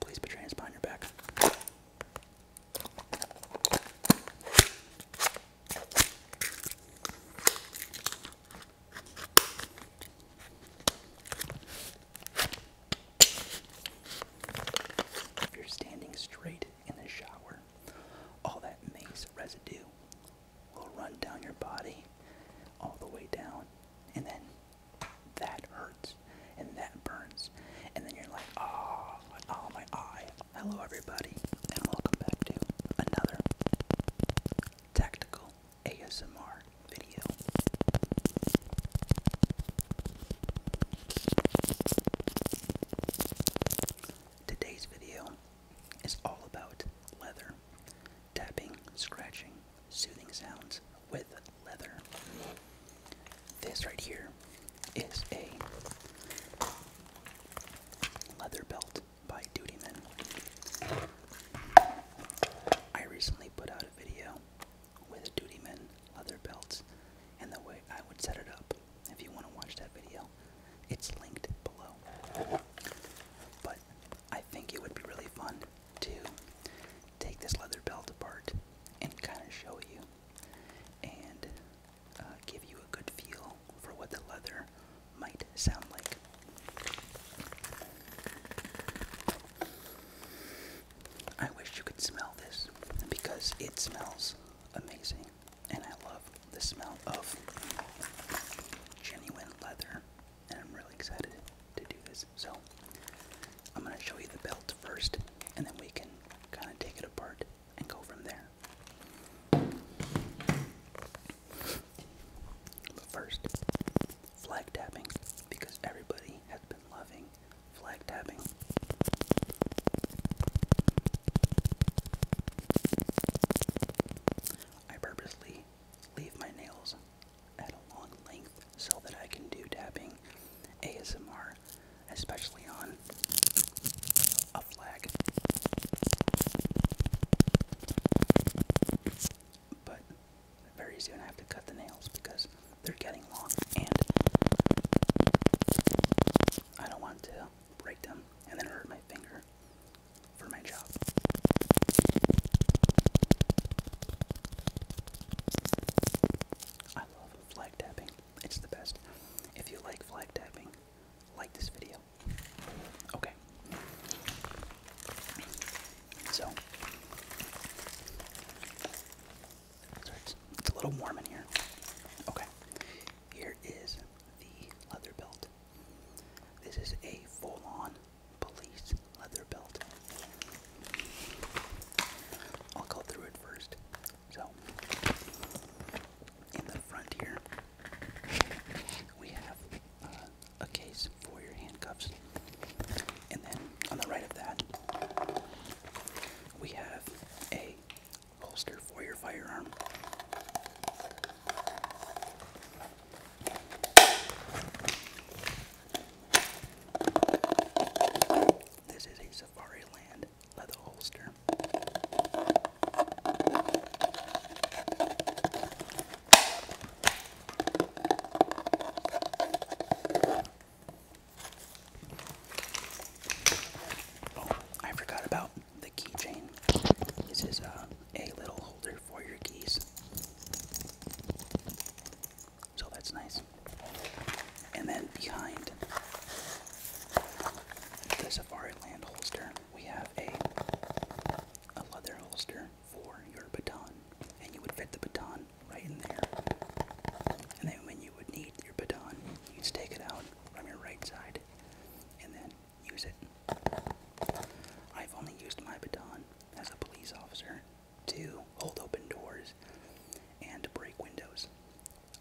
Please be transparent. hands behind your back. you're standing straight in the shower, all that mace residue will run down your body all the way down and then that hurts and that burns. And then you're like, oh, oh my eye. Hello everybody and welcome back to another tactical ASMR video. Today's video is all about leather, tapping, scratching, soothing sounds with leather. This right here is a leather belt by Duty Men. I recently put out a video with a Men leather belts and the way I would set it up. If you want to watch that video, it's linked below. But I think it would be really fun to take this leather belt apart and kind of show you and uh, give you a good feel for what the leather might sound like. I wish you could smell this because it smells amazing and I love the smell of genuine leather and I'm really excited to do this. So I'm going to show you the belt first, and then we can kind of take it apart and go from there. But first, flag tapping, because everybody has been loving flag tapping. I purposely leave my nails at a long length so that I can do dabbing, ASMR, especially on a flag. But very soon I have to cut the nails because they're getting long and I don't want to break them and then hurt my finger for my job. I love flag tapping. It's the best. If you like flag tapping, like this video. Okay. So Sorry, it's a little warm in here. Okay. Here is the leather belt. This is a full-on police leather belt. I'll go through it first. So, in the front here, we have uh, a case for your handcuffs. And then on the right of that, we have a holster for your firearm. This is a Safari Land leather holster. Oh, I forgot about the keychain. This is uh, a little holder for your keys. So that's nice. And then behind the Safari Land holster, we have a leather holster for your baton, and you would fit the baton right in there. And then when you would need your baton, you would take it out from your right side and then use it. I've only used my baton as a police officer to hold open doors and break windows.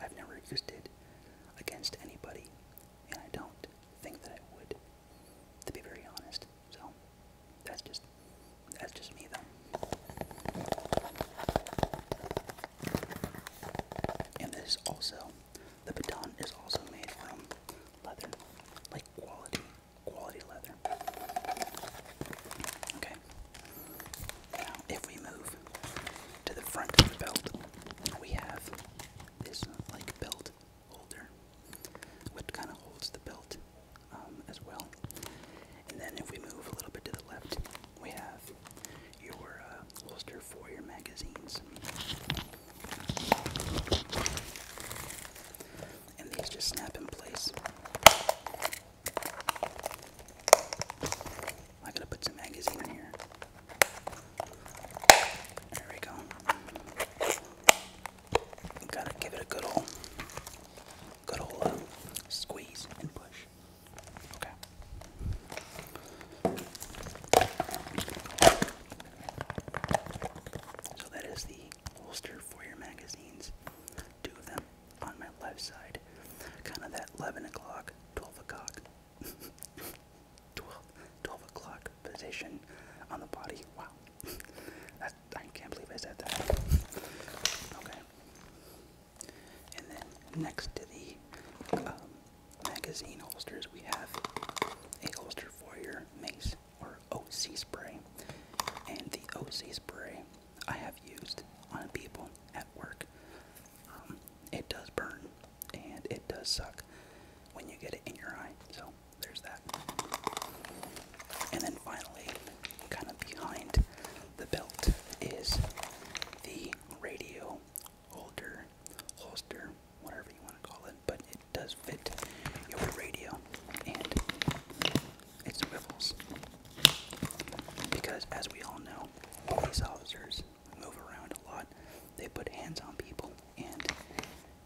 I've never used it against anybody, and I don't think that I would, to be very honest. So that's just that's just me though. And this is also the baton is also made from leather, like quality quality leather. Okay. Now, if we move to the front of the belt, we have this like belt holder, which kind of holds the belt um, as well. And then, if we move a little bit to the left, we have your uh, holster for your magazines and these just snap in place. I gotta put some magazine in here. There we go. gotta give it a good old, good old uh, squeeze and push. Okay. So that is the holster for your magazines. Two of them on my left side. Kind of that 11 o'clock, 12 o'clock, 12, o'clock position on the body. Wow. I can't believe I said that. Okay. And then next to the um, magazine holsters, we have a holster for your mace or OC spray. And the OC spray I have used on people at work. Um, it does burn and it does suck when you get it in your eye. So there's that. And then finally, kind of behind the belt is the radio holder holster whatever you want to call it, but it does fit your radio and its swivels. Because, as we all know, police officers move around a lot, they put hands on people, and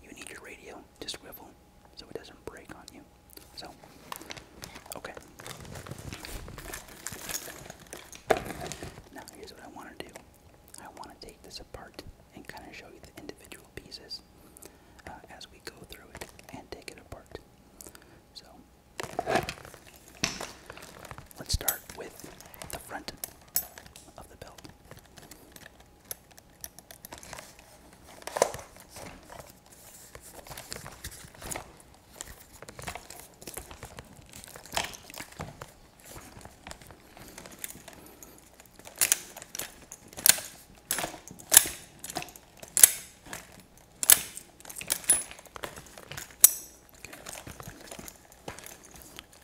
you need your radio to swivel so it doesn't break on you. So, okay. Now, here's what I want to do. I want to take this apart and kind of show you the individual pieces uh, as we go through it and take it apart. So, let's start with the front of the belt.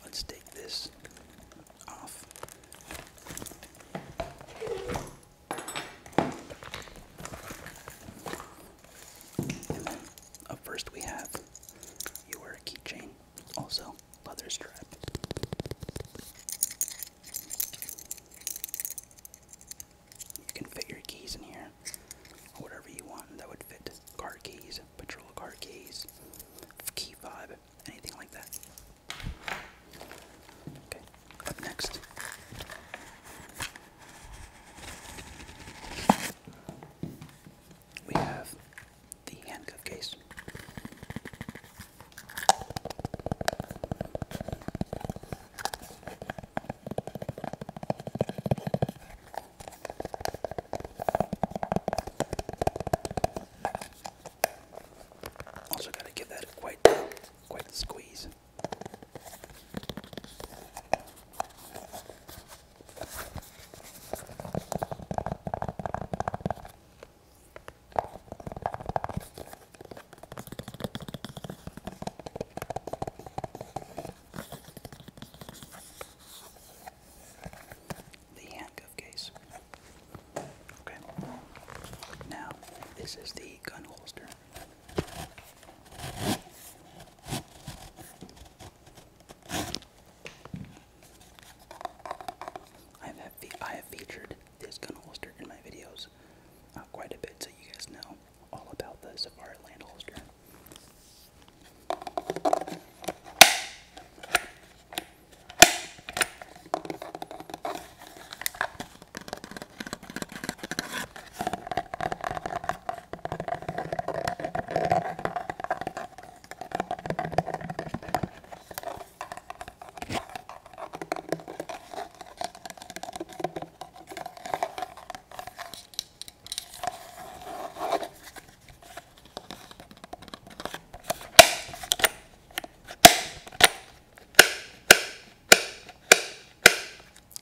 Let's take this off. first we have your keychain also know, leather strap. You can fit your keys in here, whatever you want. That would fit car keys, patrol car keys, key fob, anything like that. Okay, up next. We have the handcuff case. Also got to give that quite quite squeeze. The handcuff case. Okay. Now, this is the gun holster. I have featured this gun holster in my videos uh, quite a bit, so you guys know all about the Safari Land holster.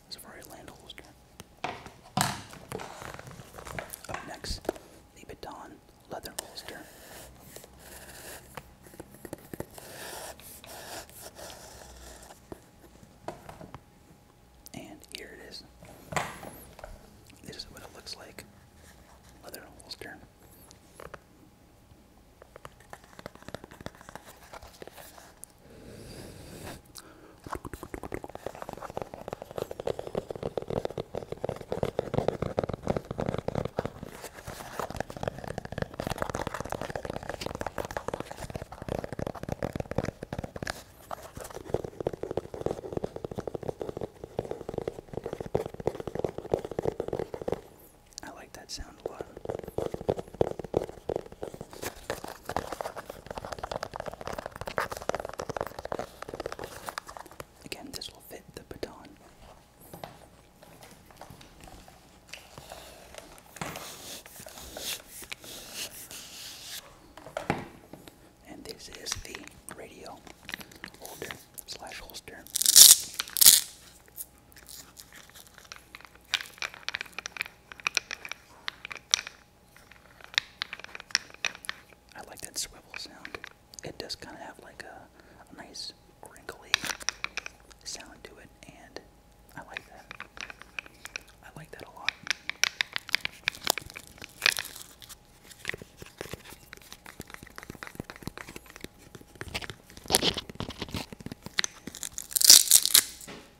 It's a very land holster. Up next Louboutin leather holster. And here it is. This is what it looks like. Leather holster. I like that sound a lot. Again, this will fit the baton. And this is the radio holder slash holster. I like that swivel sound. It does kind of have like a, nice crinkly sound to it, and I like that. I like that a lot.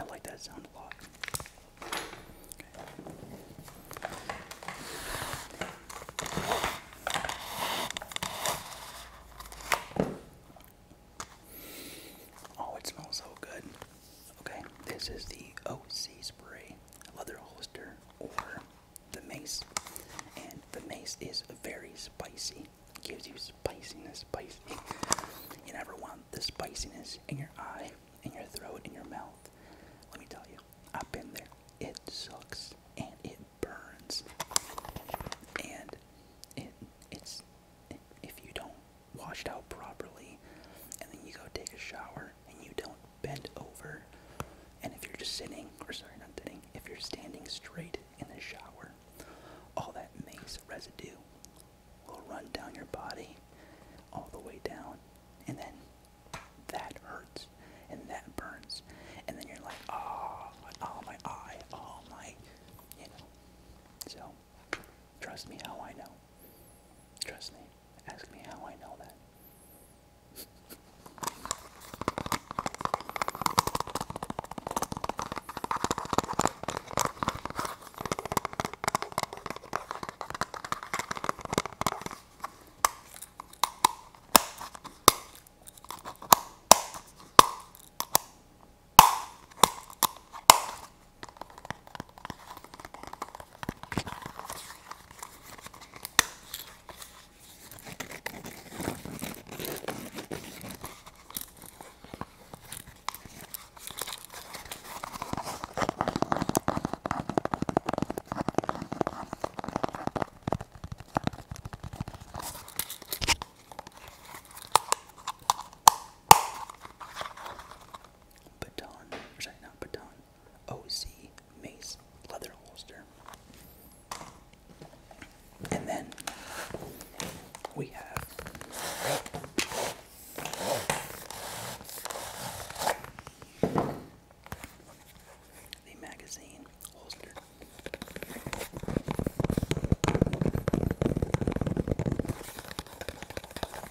I like that sound a lot. Oh, it smells so good. Okay, this is the OC spray, leather holster, or the mace, and the mace is very spicy. It gives you spiciness, spicy. You never want the spiciness in your eye, in your throat, in your mouth. Let me tell you, up in there. It sucks and it burns, and it it's if you don't wash it out properly, and then you go take a shower and you don't bend over. And if you're just sitting, or sorry, not sitting, if you're standing straight in the shower, all that mace residue will run down your body all the way down. And then that hurts and that burns. And then you're like, oh, oh my eye, oh my, you know. So, trust me how I know. Trust me. Ask me how I know that. Baton, or sorry, not baton, Oz Mace leather holster. And then we have the magazine holster.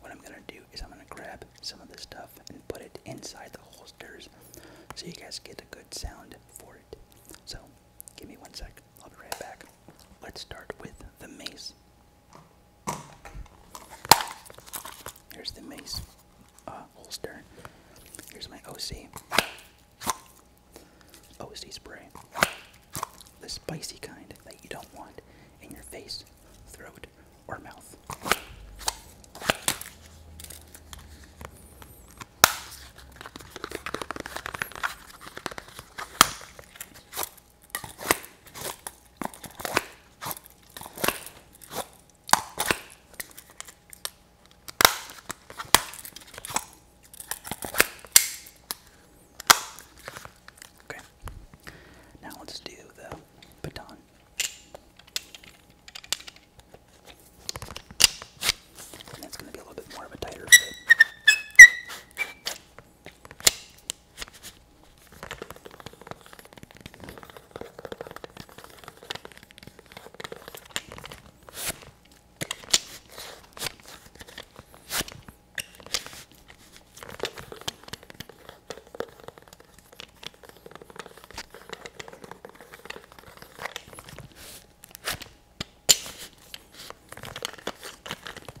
What I'm gonna do is I'm gonna grab some of this stuff and put it inside the holsters so you guys get a good sound for it. So give me one sec, I'll be right back. Let's start with the mace. Here's the mace uh, holster. Here's my OC. OC spray. The spicy kind that you don't want in your face throat, or mouth. Okay. Now let's do the baton. And going to be a little bit more of a tighter fit.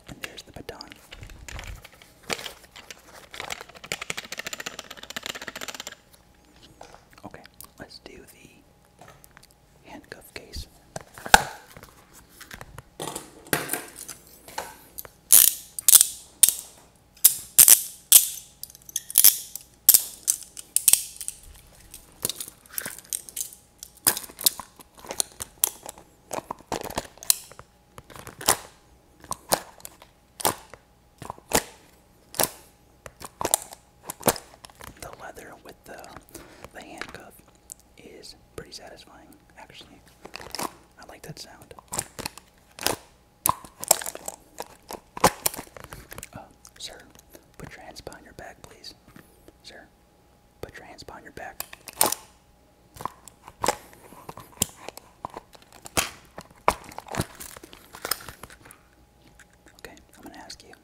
And there's the baton. Okay, let's do the handcuff case. The leather with the the handcuff is pretty satisfying, actually. I like that sound. Uh, sir, put your hands behind your back, please. Sir, put your hands behind your back. Okay, I'm gonna ask you.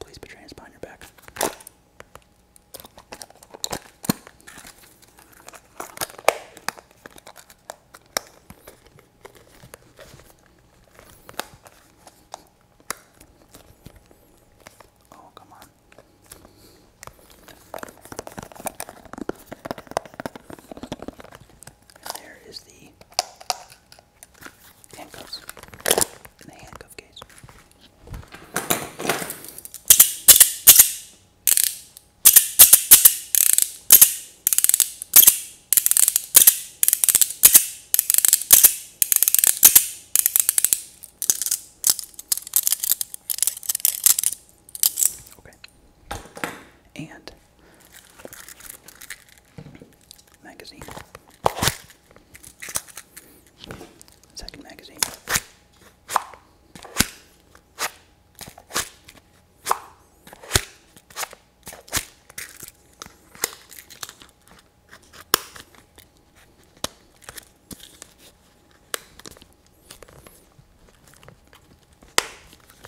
Please put your hands behind your back. Oh, come on. There is the handcuffs in the handcuff case. Okay. And magazine. Second magazine.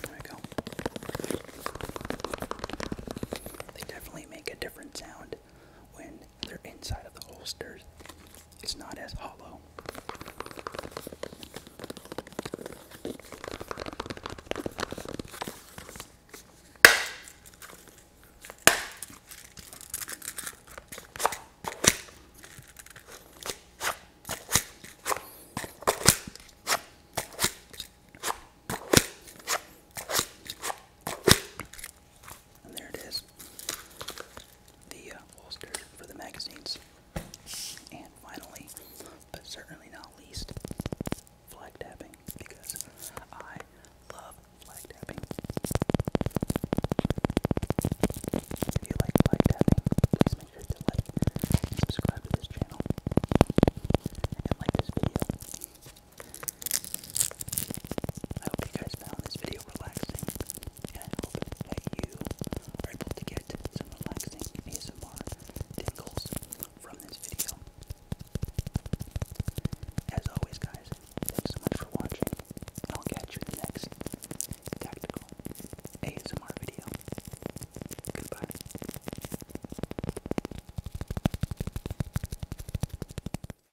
There we go. They definitely make a different sound when they're inside of the holsters. It's not as hollow. And there it is. The uh, holster for the magazines. And finally, but certainly not least, flag tapping because I love flag tapping. If you like flag tapping, make sure to like subscribe to this channel and like this video. I hope you guys found this video relaxing, and hope that you are able to get some relaxing ASMR tingles from this video. As always, guys, thanks so much for watching, and I'll catch you in the next tactical ASMR video. Goodbye.